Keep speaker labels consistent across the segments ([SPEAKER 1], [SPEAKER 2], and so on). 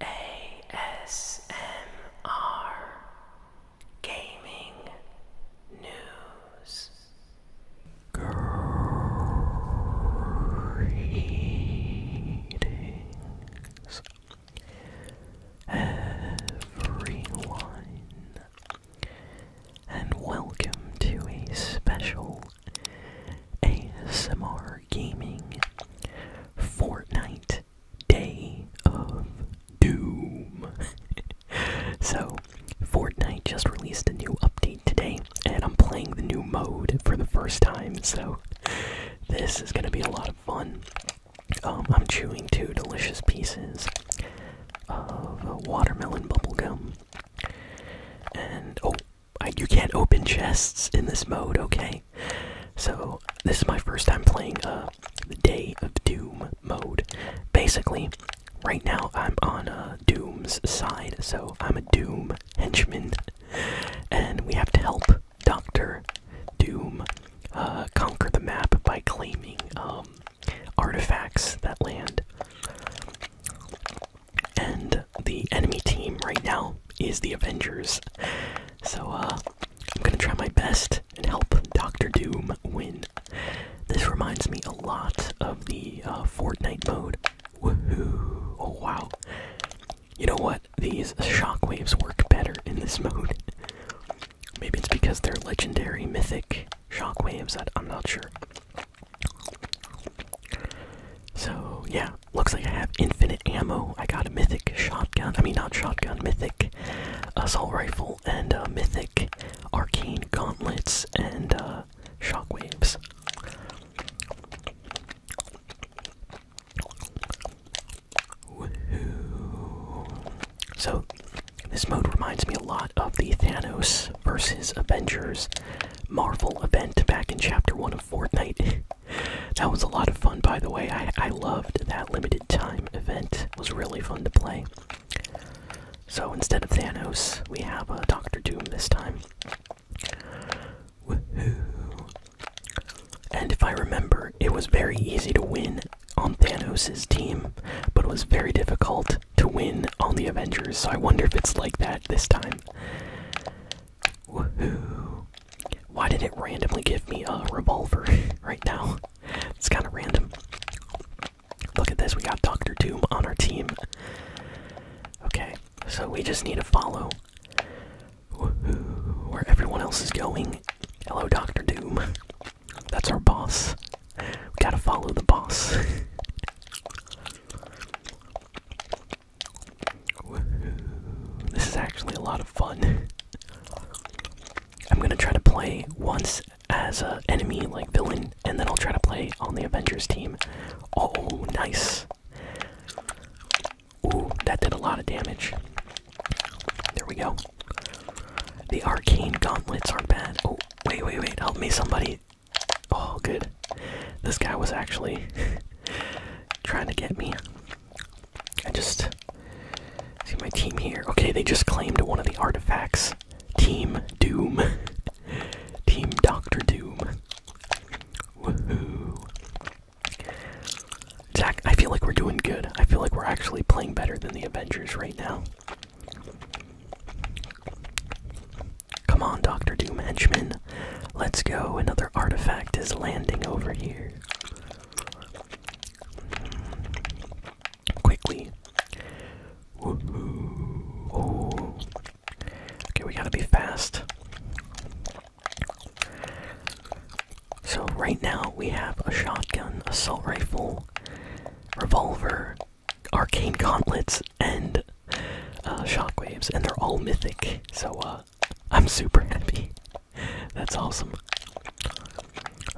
[SPEAKER 1] ASMR Gaming News everyone and welcome to a special ASMR Gaming Fortnite Day of Doom. so, Fortnite just released a new update today, and I'm playing the new mode for the first time, so this is gonna be a lot of fun. Um, I'm chewing two delicious pieces of watermelon bubble gum, And oh, you can't open chests in this mode, okay? So this is my first time playing uh, the Day of Doom mode. Basically, right now I'm on uh, Doom's side, so I'm a Doom henchman, and we have to help Doctor Doom uh, conquer the map by claiming um, artifacts that land and the enemy team right now is the Avengers. So uh, I'm gonna try my best and help Doctor Doom win. This reminds me a lot of the uh, Fortnite mode. Woohoo! Oh wow! You know what? These shockwaves work better in this mode. Maybe it's because they're legendary, mythic shockwaves. I'm not sure. So, yeah, looks like I have infinite ammo. I got a mythic shotgun, I mean, not shotgun, mythic assault rifle, and a mythic arcane gauntlets and uh, shockwaves. So, this mode reminds me a lot of the Thanos versus Avengers Marvel event back in Chapter 1 of. Fortnite. that was a lot of fun, by the way. I, loved that limited time event. It was really fun to play. So instead of Thanos, we have uh, Doctor Doom this time. And if I remember, it was very easy to win on Thanos' team, but it was very difficult to win on the Avengers, so I wonder if it's like that this time. Why did it randomly give me a revolver right now? It's kind of random. Look at this, we got Doctor Doom on our team. Okay, so we just need to follow where everyone else is going. Hello, Doctor Doom. That's our boss. We gotta follow the boss. This is actually a lot of fun. I'm gonna try to play once as an enemy, like villain, and then I'll try to play on the Avengers team. Oh, nice. Ooh, that did a lot of damage. There we go. The arcane gauntlets aren't bad. Oh, wait, wait, wait. Help me, somebody. Oh, good. This guy was actually trying to get me. I just see my team here. Okay, they just claimed one of the artifacts. Team Doom. team Doctor Doom. Woohoo. Zach, I feel like we're doing good. I feel like we're actually playing better than the Avengers right now. Come on, Dr. Doom Henchman. Let's go. Another artifact is landing over here. Quickly. Okay, we gotta be fast. So, right now we have a shotgun, assault rifle, revolver, arcane gauntlets and uh, shockwaves, and they're all mythic. So uh, I'm super happy. That's awesome.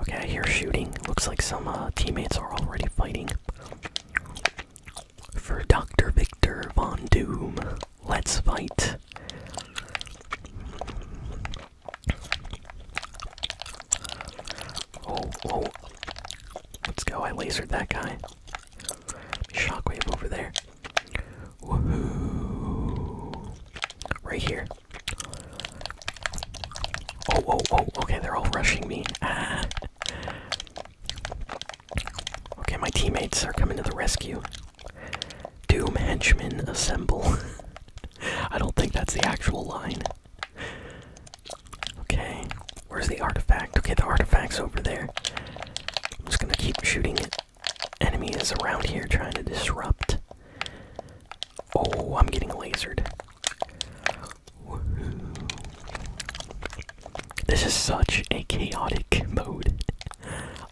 [SPEAKER 1] Okay, I hear shooting. Looks like some uh, teammates are already fighting. For Dr. Victor Von Doom, let's fight. Oh, oh. Let's go. I lasered that guy. Shockwave over there. Woohoo! Right here. Oh, oh, oh, okay, they're all rushing me. Ah. Okay, my teammates are coming to the rescue. Doom henchmen assemble. I don't think that's the actual line. Okay, where's the artifact? Okay, the artifact's over there. I'm just gonna keep shooting it. Enemy is around here trying to disrupt. Oh, I'm getting lasered. This is such a chaotic mode.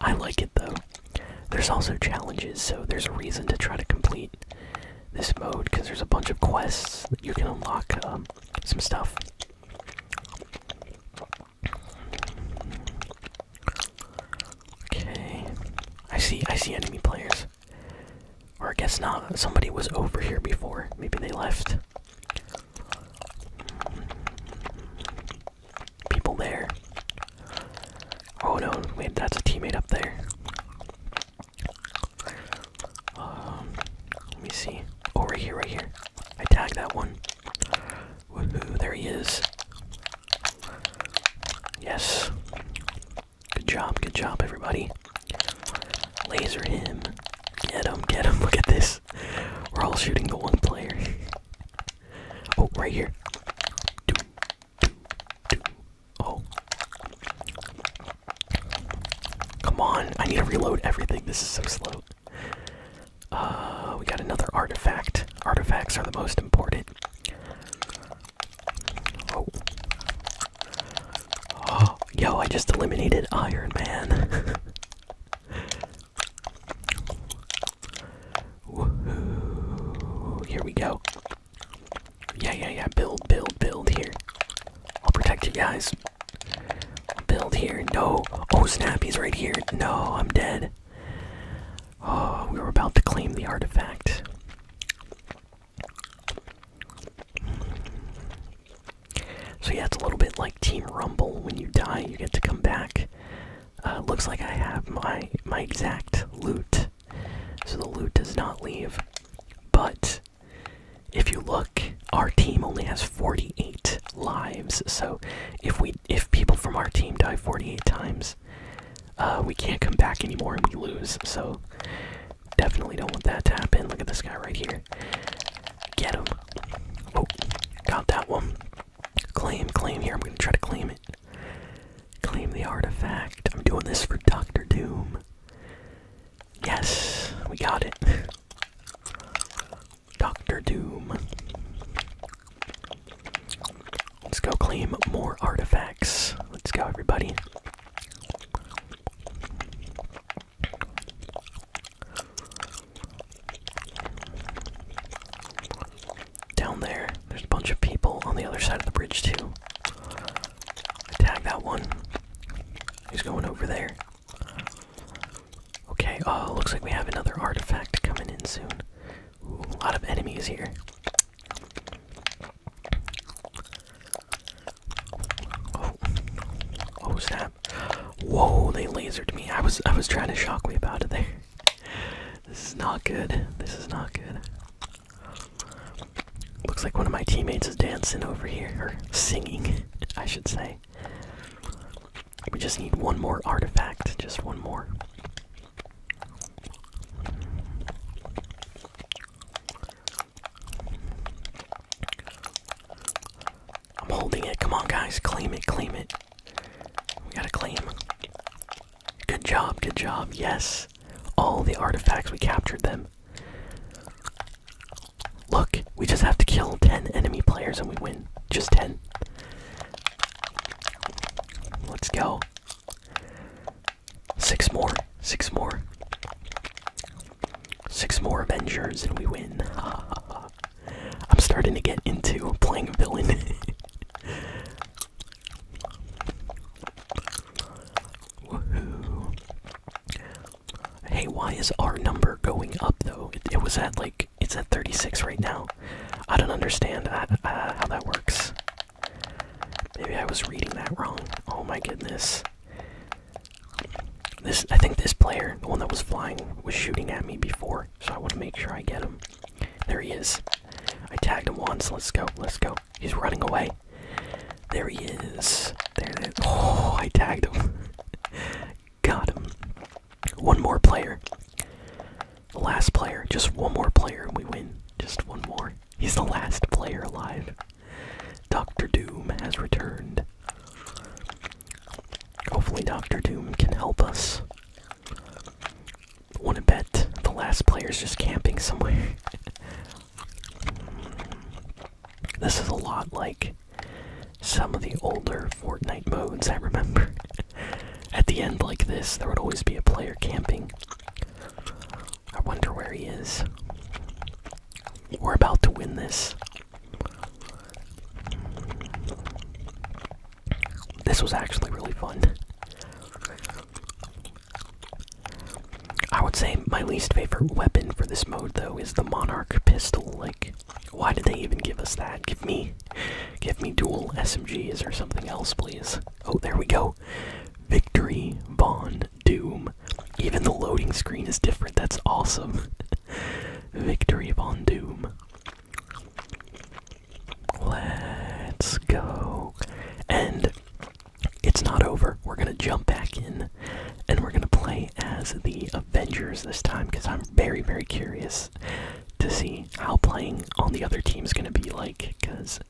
[SPEAKER 1] I like it though. There's also challenges, so there's a reason to try to complete this mode because there's a bunch of quests that you can unlock um, some stuff. Okay. I see I see enemy players. Or I guess not. Somebody was over here before. Maybe they left. People there. Oh no, wait, that's a teammate up there. Um, let me see. Oh, right here, right here. I tagged that one. there he is. Yes. Good job, good job, everybody. Laser him. Get him, get him. Look at this. We're all shooting the one player. oh, right here. Oh. Come on, I need to reload everything. This is so slow. Uh, we got another artifact. Artifacts are the most important. Oh. oh yo, I just eliminated Iron Man. Here we go. Yeah, yeah, yeah. Build, build, build here. I'll protect you guys. build here. No. Oh Snappy's right here. No, I'm dead. Oh, we were about to claim the artifact. So yeah, it's a little bit like Team Rumble. When you die, you get to come back. Uh, looks like I have my my exact loot, so the loot does not leave. But if you look, our team only has 48 lives. So if we if people from our team die 48 times, uh, we can't come back anymore and we lose. So definitely don't want that to happen. Look at this guy right here. Get him. Oh, got that one. Claim, claim here. I'm gonna try to claim it. Claim the artifact. I'm doing this for Doctor Doom. Yes, we got it. Doctor Doom. Let's go claim more artifacts. Let's go, everybody. Down there, there's a bunch of people on the other side of the bridge, too. I that one. He's going over there. Okay, oh, looks like we have another artifact coming in soon. a lot of enemies here. Oh, oh snap. Whoa, they lasered me. I was I was trying to shock me about it there. This is not good. This is not good. Looks like one of my teammates is dancing over here, or singing, I should say. We just need one more artifact, just one more. I'm holding it. Come on, guys. Claim it. Claim it. We gotta claim. Good job. Good job. Yes. All the artifacts, we captured them. Look, we just have to kill 10 enemy players and we win. Just 10. Let's go. Six more. Six more. Six more Avengers and we win. I'm starting to get into playing a villain. Woohoo. Hey, why is our number going up though? It, was at like, it's at 36 right now. I don't understand uh, how that works. Maybe I was reading that wrong. Oh my goodness. This, I think this player, the one that was flying, was shooting at me before, so I want to make sure I get him. There he is. I tagged him once. Let's go. Let's go. He's running away. There he is. There, there. Oh, I tagged him. Got him. One more player. The Last player. Just one more player and we win. Just one more. He's the last player alive. Doctor Doom has returned. Hopefully, Doctor Doom can help us. Wanna bet the last player's just camping somewhere. This is a lot like some of the older Fortnite modes I remember. At the end, like this, there would always be a player camping. I wonder where he is. We're about to win this. This was actually really fun. I would say my least favorite weapon for this mode though is the Monarch pistol. Like, why did they even give us that? Give me, give me dual SMGs or something else, please. Oh, there we go. Victory, Bond, Doom. Even the loading screen is different. That's awesome. Victory, Bond, Doom. Let's go. And it's not over. We're gonna jump back in, and we're gonna play as the Avengers this time because I'm very, very curious to see how playing on the other team is gonna be like. Because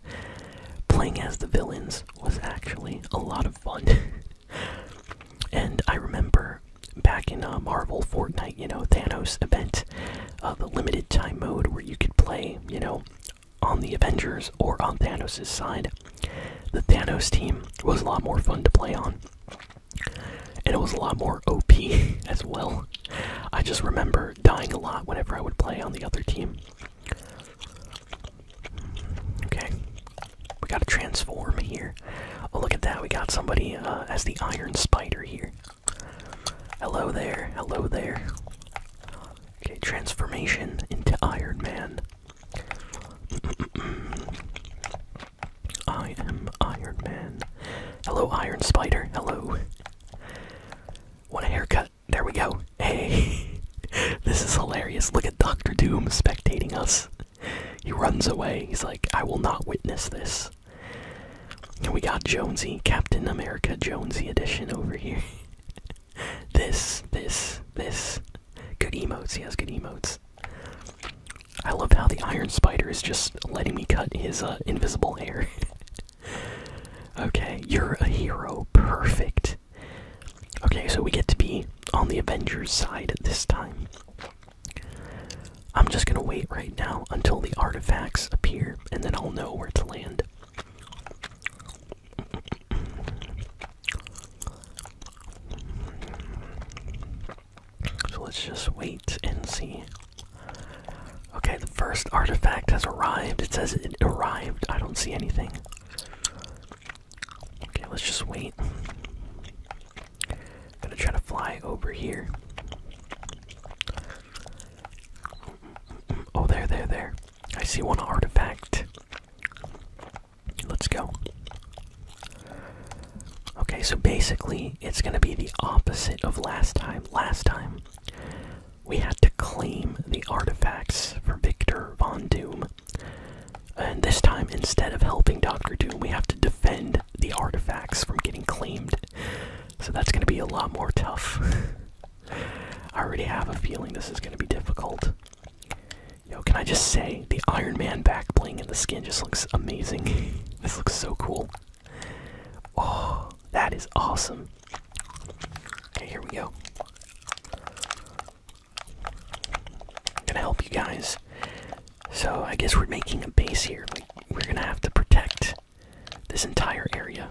[SPEAKER 1] playing as the villains was actually a lot of fun, and I remember back in a uh, Marvel Fortnite, you know, Thanos event, uh, the limited time mode where you could play, you know, on the Avengers or on Thanos' side, the Thanos team was a lot more fun to play on. And it was a lot more OP as well. I just remember dying a lot whenever I would play on the other team. Okay. We gotta transform here. Oh, look at that. We got somebody uh, as the Iron Spider here. Hello there. Hello there. Okay, transformation into Iron Man. I am Iron Man. Hello, Iron Spider. Hello. What a haircut. There we go. Hey. this is hilarious. Look at Doctor Doom spectating us. He runs away. He's like, I will not witness this. And we got Jonesy, Captain America Jonesy edition over here. this, this, this. Good emotes. He has good emotes. I love how the Iron Spider is just letting me cut his uh, invisible hair. okay, you're a hero. Perfect. Okay, so we get to be on the Avengers side at this time. I'm just gonna wait right now until the artifacts appear, and then I'll know where to land. So let's just wait and see. Okay, the first artifact has arrived. It says it arrived. I don't see anything. Okay, let's just wait. I'm gonna try to fly over here. Oh, there, there, there. I see one artifact. Let's go. Okay, so basically, it's gonna be the opposite of last time. Last time, we had to claim the artifacts for Victor Von Doom. And this time, instead of helping Dr. Doom, we have to defend the artifacts from getting claimed. So that's gonna be a lot more tough. I already have a feeling this is going to be difficult. Yo, can I just say, the Iron Man back bling and the skin just looks amazing. this looks so cool. Oh, that is awesome. Okay, here we go. I'm gonna help you guys. So I guess we're making a base here. Like, we're gonna have to protect this entire area.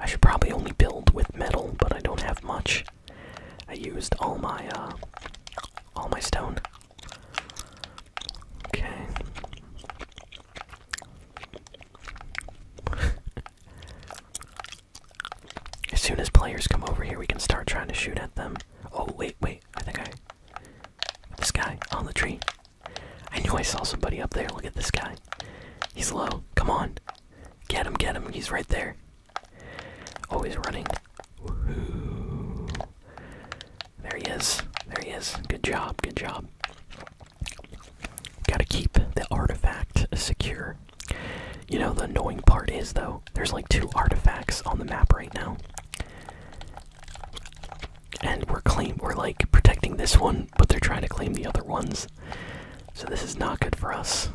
[SPEAKER 1] I should probably only build with metal, but I don't have much. I used all my uh all my stone. Okay. As soon as players come over here, we can start trying to shoot at them. Oh, wait, wait. I think I. This guy on the tree. I knew I saw somebody up there. Look at this guy. He's low. Come on. Get him, get him. He's right there. Oh, he's running. There he is. There he is. Good job, good job. Gotta keep the artifact secure. You know, the annoying part is, though, there's like two artifacts on the map right now. And we're claim we're like protecting this one, but they're trying to claim the other ones. So this is not good for us.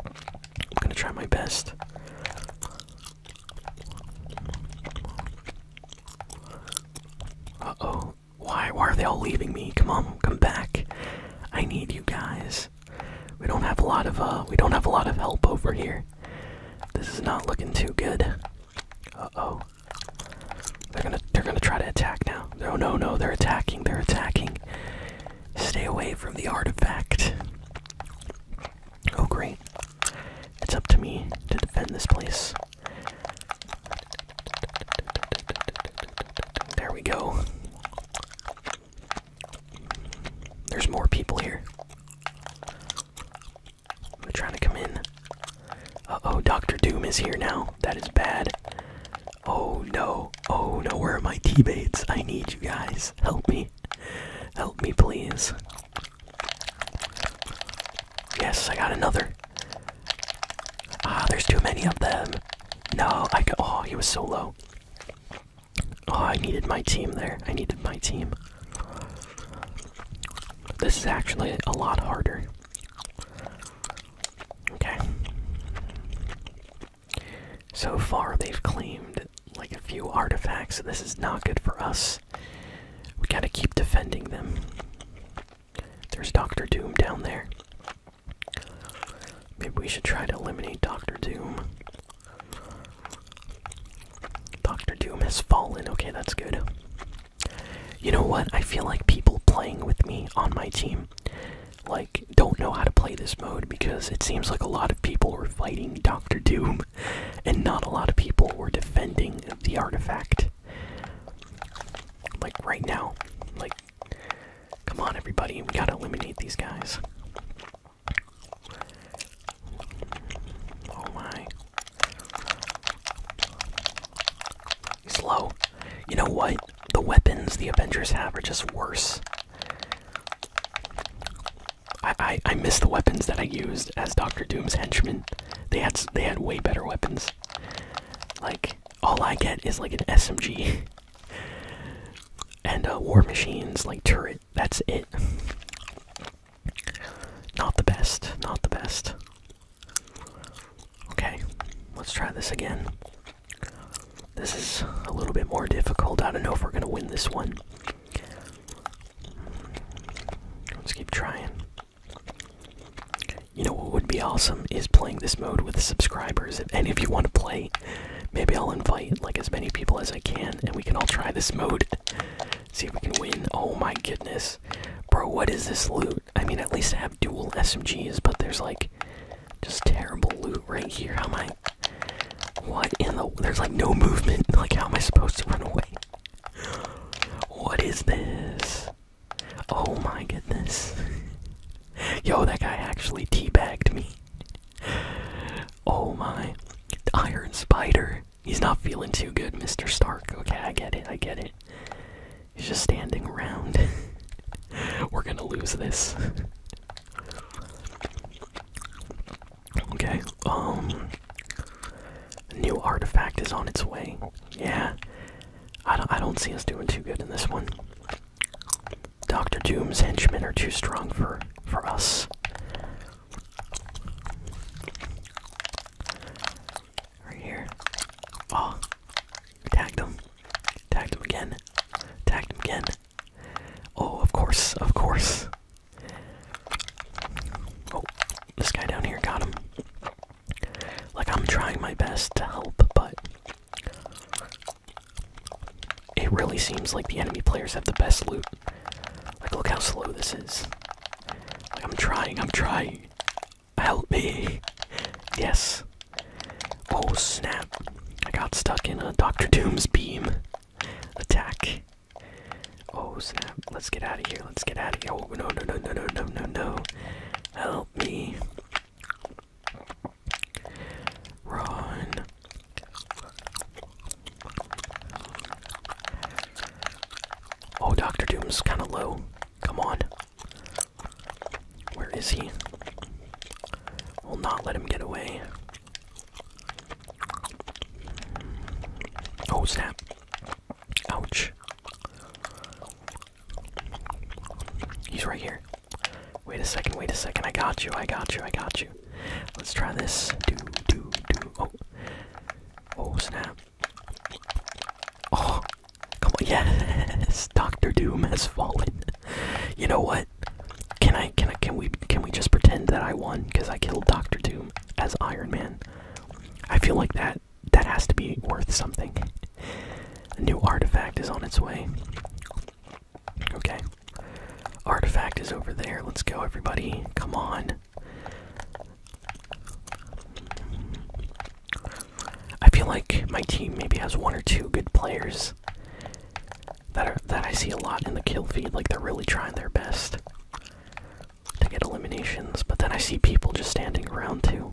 [SPEAKER 1] I'm gonna try my best. Uh oh, why? Why are they all leaving me? Come on, come back. I need you guys. We don't have a lot of uh we don't have a lot of help over here. This is not looking too good. Uh-oh. They're gonna they're gonna try to attack now. No no no, they're attacking, they're attacking. Stay away from the artifact. Oh great. It's up to me to defend this place. There we go. There's more people here. They're trying to come in. Uh oh, Doctor Doom is here now. That is bad. Oh no. Oh no, where are my teammates? I need you guys. Help me. Help me, please. Yes, I got another. Ah, there's too many of them. No, I got. Oh, he was so low. Oh, I needed my team there. I needed my team. This is actually a lot harder. Okay. So far, they've claimed like a few artifacts. This is not good for us. We gotta keep defending them. There's Doctor Doom down there. Maybe we should try to eliminate Doctor Doom. Doctor Doom has fallen. Okay, that's good. You know what? I feel like people playing with me on my team like don't know how to play this mode because it seems like a lot of people are fighting Doctor Doom and not a lot of people are defending the artifact. Like right now. Like come on everybody, we gotta eliminate these guys. Oh my. He's You know what? The weapons the Avengers have are just worse. I I, I miss the weapons that I used as Doctor Doom's henchman. They had they had way better weapons. Like all I get is like an SMG and a uh, war machines like turret. That's it. Not the best. Not the best. Okay, let's try this again. This is a little bit more difficult. I don't know if we're gonna win this one. Let's keep trying. You know what would be awesome is playing this mode with subscribers. If any of you want to play, maybe I'll invite like as many people as I can and we can all try this mode. See if we can win. Oh my goodness. Bro, what is this loot? I mean at least I have dual SMGs, but there's like just terrible loot right here. How am I what in the there's like no movement. Like how am I supposed to run away? What is this? Oh my goodness. Yo, that guy actually teabagged me. Oh my. Iron Spider. He's not feeling too good, Mr. Stark. Okay, I get it, I get it. He's just standing around. We're gonna lose this. Okay, um, new artifact is on its way. Yeah, I don't, I don't see us doing too good in this one. Doctor Doom's henchmen are too strong for for us. Right here. Oh, tagged him. Tagged him again. Tagged him again. Oh, of course, of course. Oh, this guy down here got him. Like, I'm trying my best to help, but it really seems like the enemy players have the best loot. Like, look how slow this is. Like, I'm trying, I'm trying. Help me. Yes. Oh, snap. I got stuck in a Doctor Doom's beam attack. Oh snap! Let's get out of here. Let's get out of here. Oh no no no no no no no no! Help me! Run! Oh, Doctor Doom's kind of low. Come on. Where is he? we Will not let him get away. Oh snap. Ouch. He's right here. Wait a second, wait a second. I got you, I got you, I got you. Let's try this. Do, do, do. Oh. Oh snap. Oh. Come on. Yes. Doctor Doom has fallen. You know what? Can I can I can we can we just pretend that I won cuz I killed Doctor Doom? as Iron Man. I feel like that that has to be worth something. A new artifact is on its way. Okay. Artifact is over there. Let's go everybody. Come on. I feel like my team maybe has one or two good players that are, that I see a lot in the kill feed. Like they're really trying their best to get eliminations, but then I see people just standing around too.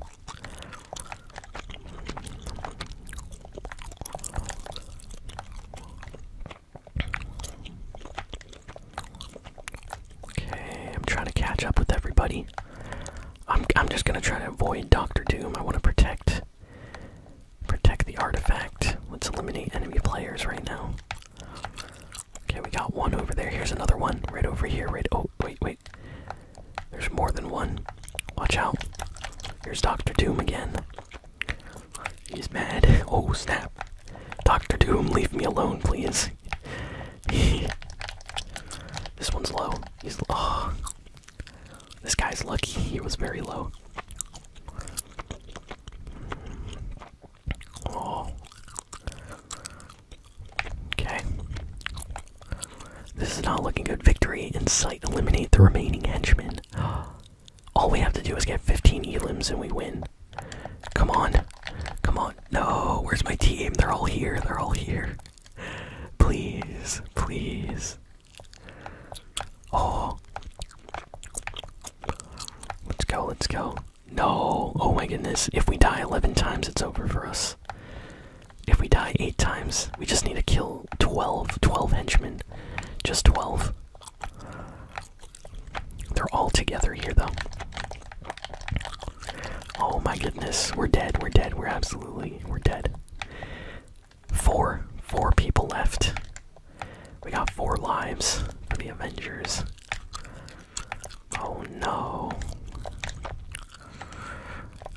[SPEAKER 1] Okay, I'm trying to catch up with everybody. I'm I'm just gonna try to avoid Doctor Doom. I want to protect protect the artifact. Let's eliminate enemy players right now. Okay, we got one over there. Here's another one right over here. Right. Oh, wait, wait. There's more than one. Watch out. Here's Doctor Doom again. He's mad. Oh, snap. Doctor Doom, leave me alone, please. this one's low. He's. Oh. This guy's lucky. He was very low. Oh. Okay. This is not looking good. Victory in sight. Eliminate the remaining henchmen. All we have to do is get 15 elims and we win. Come on. Come on. No, where's my team? They're all here. They're all here. Please. Please. Oh. Let's go, let's go. No! Oh my goodness. If we die 11 times, it's over for us. If we die 8 times, we just need to kill 12. 12 henchmen. Just 12. They're all together here, though. Oh my goodness. We're dead. We're dead. We're absolutely. We're dead. Four. Four people left. We got four lives for the Avengers. Oh no.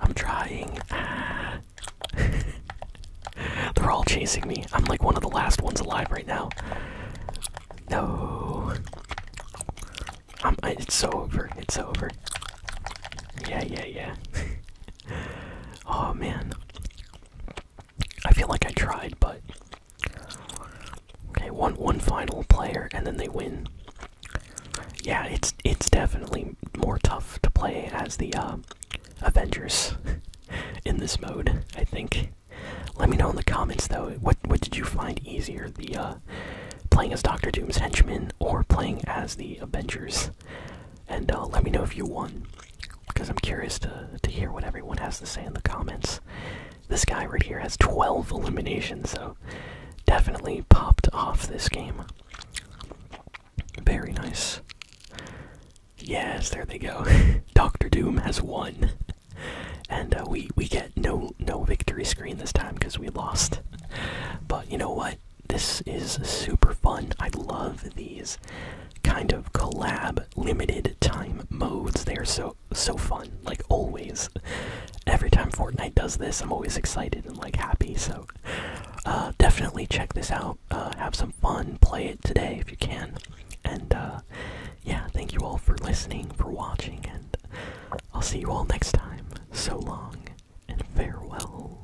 [SPEAKER 1] I'm trying. Ah. They're all chasing me. I'm like one of the last ones alive right now. No. it's over. It's over. Yeah, yeah, yeah. oh man. I feel like I tried, but okay, one one final player, and then they win. Yeah, it's it's definitely more tough to play as the uh, Avengers in this mode. I think. Let me know in the comments though. What what did you find easier, the uh, playing as Doctor Doom's henchman or playing as the Avengers? And uh, let me know if you won because I'm curious to to hear what everyone has to say in the comments. This guy right here has 12 eliminations, so definitely popped off this game. Very nice. Yes, there they go. Doctor Doom has won, and uh, we we get no no victory screen this time because we lost. But you know what? This is super fun. I love these kind of collab limited time modes. They're so so fun, like always. Every time Fortnite does this, I'm always excited and like happy. So uh, definitely check this out. Uh, have some fun, play it today if you can. And uh, yeah, thank you all for listening, for watching, and I'll see you all next time. So long and farewell.